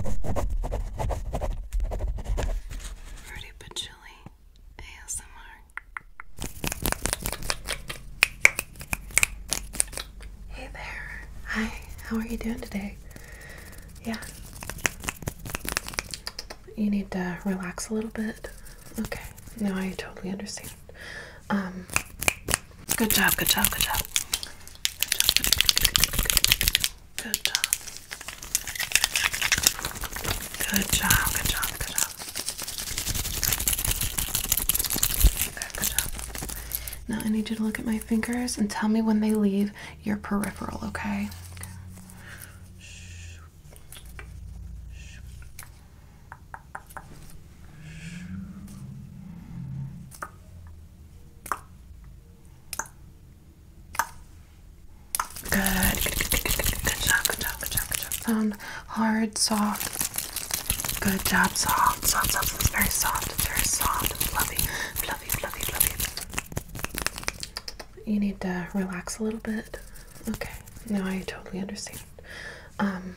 Fruity but ASMR. Hey there. Hi. How are you doing today? Yeah. You need to relax a little bit. Okay. No, I totally understand. Um. Good job. Good job. Good job. Good job. Good job, good job, good job. Now I need you to look at my fingers and tell me when they leave your peripheral, okay. Good. Good, good, good, good, good, good job, good job, good job, good job. Sound hard, soft. Good job, soft, soft, soft. It's very soft, it's very soft and fluffy, fluffy, fluffy, fluffy. You need to relax a little bit. Okay, now I totally understand. Um,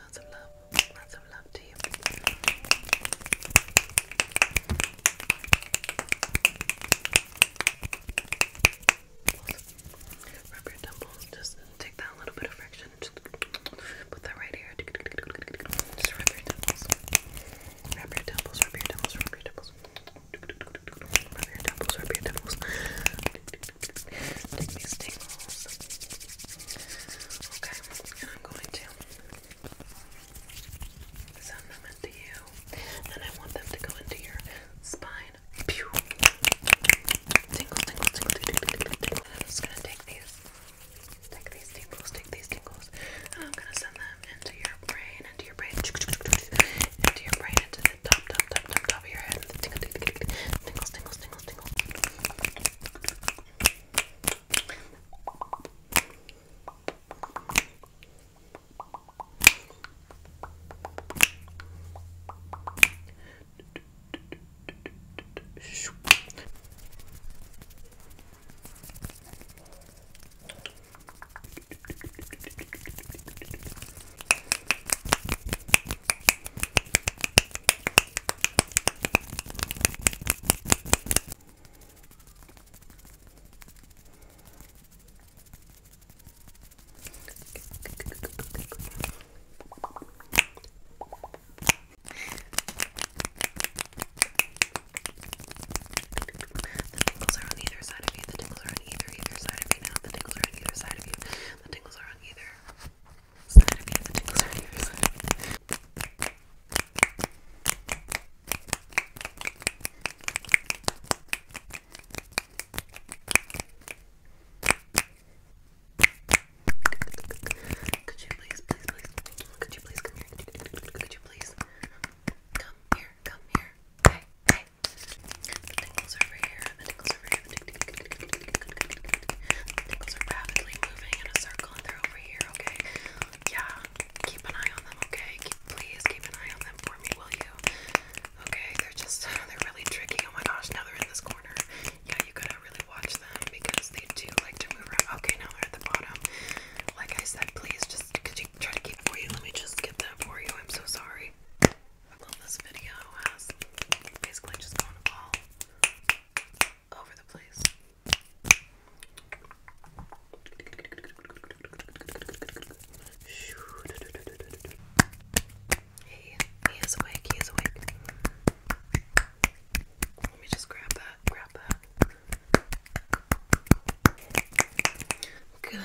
lots of love, lots of love to you. Rub your temples, just take that little bit of friction, just put that right here. Just rub your temples, rub your temples. Rub your temples, rub your temples. Rub your temples. Tingles, tingles. Okay, and I'm going to send them into you, and I want them to go into your spine. Pew! Tingle, tingle, tingle, tingle, tingle, tingle. I'm just gonna take these, take these tingles, take these tingles, and I'm gonna send them into your brain, into your brain, into your brain, into the top, top, top, top, top of your head. Tingles, tingles, tingles, tingles. The tingles are on either side of you. The tingles are on either either side of you now. The tingles are on either side of you. The tingles are on either side The tingles are on Could you please, please, please, could you please come here? Could you please come here? Come here. Hey, hey, the over here, the tingles over here, the are rapidly moving in a circle and they're over here, okay? Yeah, keep an eye on them, okay? please keep an eye on them for me, will you? Okay, they're just, they're really tricky. Oh my gosh, now they're in this corner. Yeah, you gotta really watch them because they do like to move around. Okay, now they're at the bottom. Like I said, please just, could you try to keep for you? Let me just get that for you. I'm so sorry this video has basically just gone all over the place. Hey, he is awake, he is awake. Let me just grab that, grab that. Good. Good,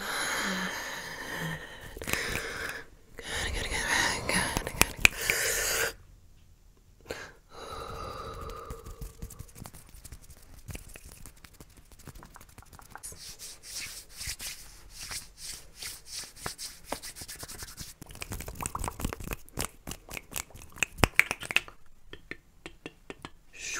good, good, good, good. Shh.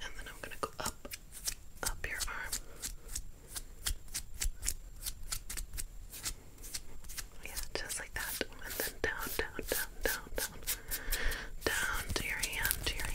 And then I'm going to go up up your arm. Yeah, just like that. And then down, down, down, down, down. Down to your hand, to your hand.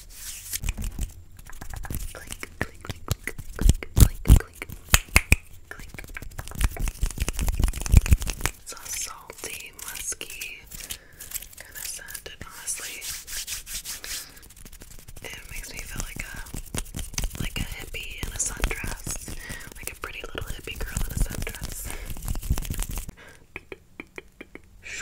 It's a salty, musky kind of scent, and honestly, it makes me feel like a like a hippie in a sundress, like a pretty little hippie girl in a sundress.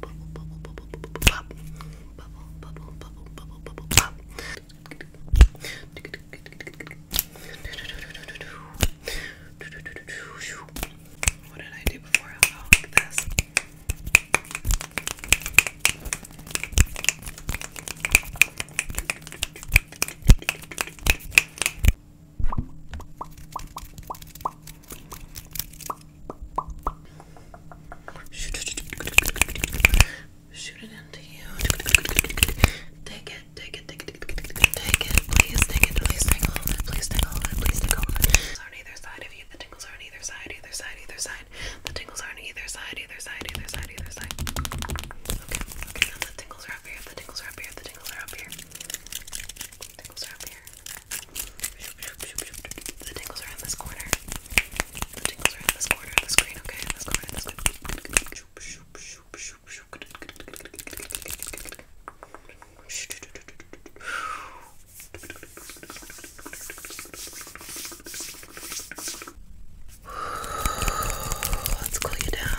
bubble, bubble, bubble, bubble, pop. Bubble, bubble, bubble, bubble, bubble, pop. What did I do before I fell like this? Shoot it into you. Take it, take it, take it, take it, take it, please, take it, please take all of it, please take all of it, please take all of it. It's on either side of you. The tingles are on either side, either side, either side. The tingles are on either side, either side, either side, either side. Okay, okay, now the tingles are up here, the tingles are up here, the tingles are up here. The tingles are up here. The tingles are in this corner. The tingles are in this corner of the screen, okay? This corner, this corner. Let's cool you down.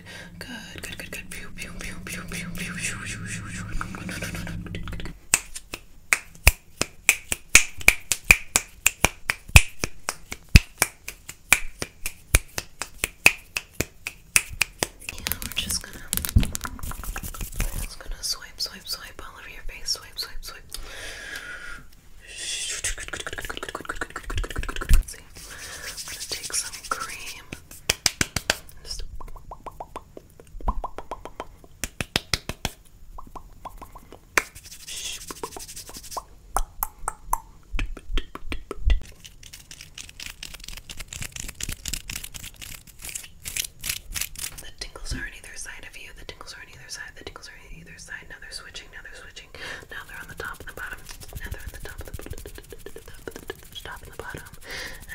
Good. Good. Good. Good. Pew, pew, pew, pew, pew, pew, shoo, shoo, shoo, shoo. Yeah, we're just gonna we're just gonna swipe, swipe, swipe all over your face. Swipe, swipe, swipe. See, I'm gonna take some cream the tingles are on either side of you. The tingles are on either side. The tingles are on either side. Now they're switching. Now they're switching. Now they're on the top and the bottom. Now they're on the top of the, the, stop in bottom,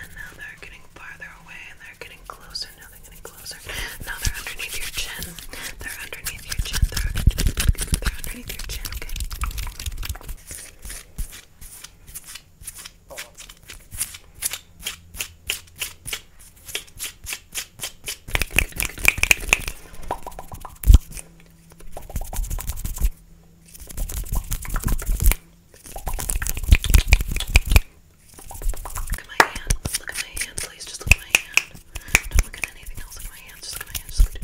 and now they're getting farther away, and they're getting closer. Now they're getting closer. Now they're underneath your chin. They're underneath your chin. They're, underneath your chin. Okay, Look at my hand. Look at my hand, please. Just look at my hand. Don't look at anything else. Look at my hand. Just look at my hand. Just look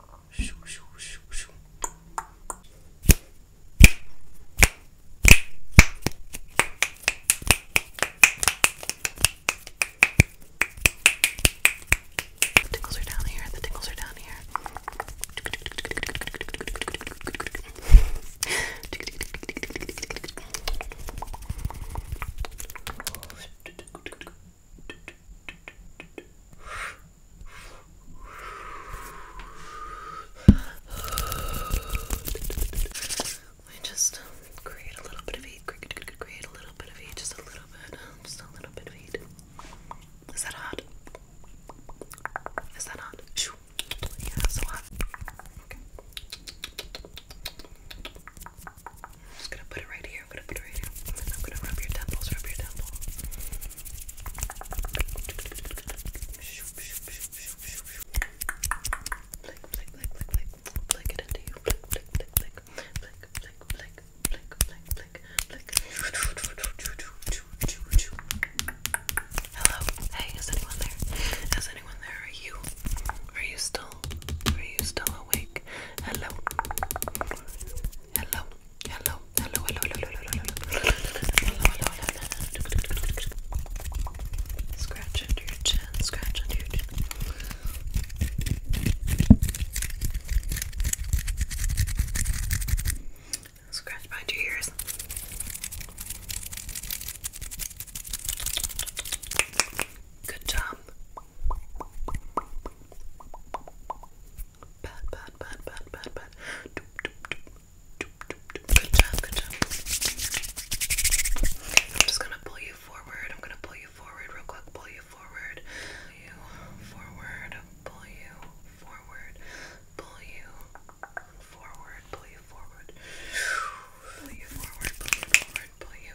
at the tickles are down here, the tickles are down here. Let just create a little bit of heat. Create a little bit of heat, just a little bit, just a little bit of heat. Is that hot? Is that hot? Yeah, so hot. just gonna put it right here. I'm gonna put it right here. I'm gonna rub your temples, rub your temple. Flick, flick, flick, flick, flick. Flick it into you. Flick, flick, flick, flick. Flick, flick, flick, flick, flick, flick, flick. Hello. Hey, is anyone there? Is anyone there? Are you? Are you still? Are you still awake? Hello. Hello hello, hello, hello, hello, hello, hello, hello, hello, hello, Scratch under your chin, scratch under your chin. Scratch behind your ears. Good job. Pat, pat, pat, pat, pat, pat. Doop, doop, doop. Doop, doop, doop. Good job, good job. I'm just gonna pull you forward. I'm gonna pull you forward real quick. Pull you forward. Pull you forward. Pull you forward. Pull you forward. Pull you forward. Pull you forward. Pull you forward. Pull you.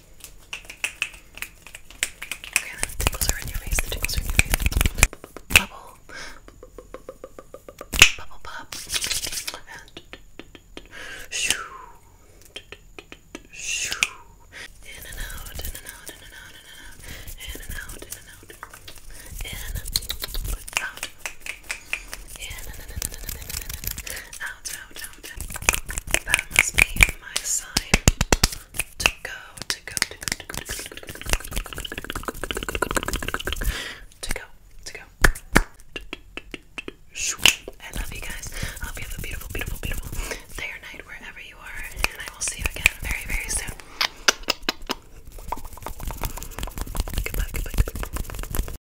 Okay, then the tickles are in your face, the tickles are in your face. Bubble. Bubble pop. And shoo. Shoo. In and out, in and out, in and out, in and out, in and out, in and out, in and out. Yeah, no, no, no, no, no, no, no, no. Out, out, out. That must be my sign to go, to go, to go, to go, to go, to go, to go, to go, to go. I love you guys. I hope you have a beautiful, beautiful, beautiful day or night wherever you are, and I will see you again very, very soon. Goodbye, goodbye, goodbye.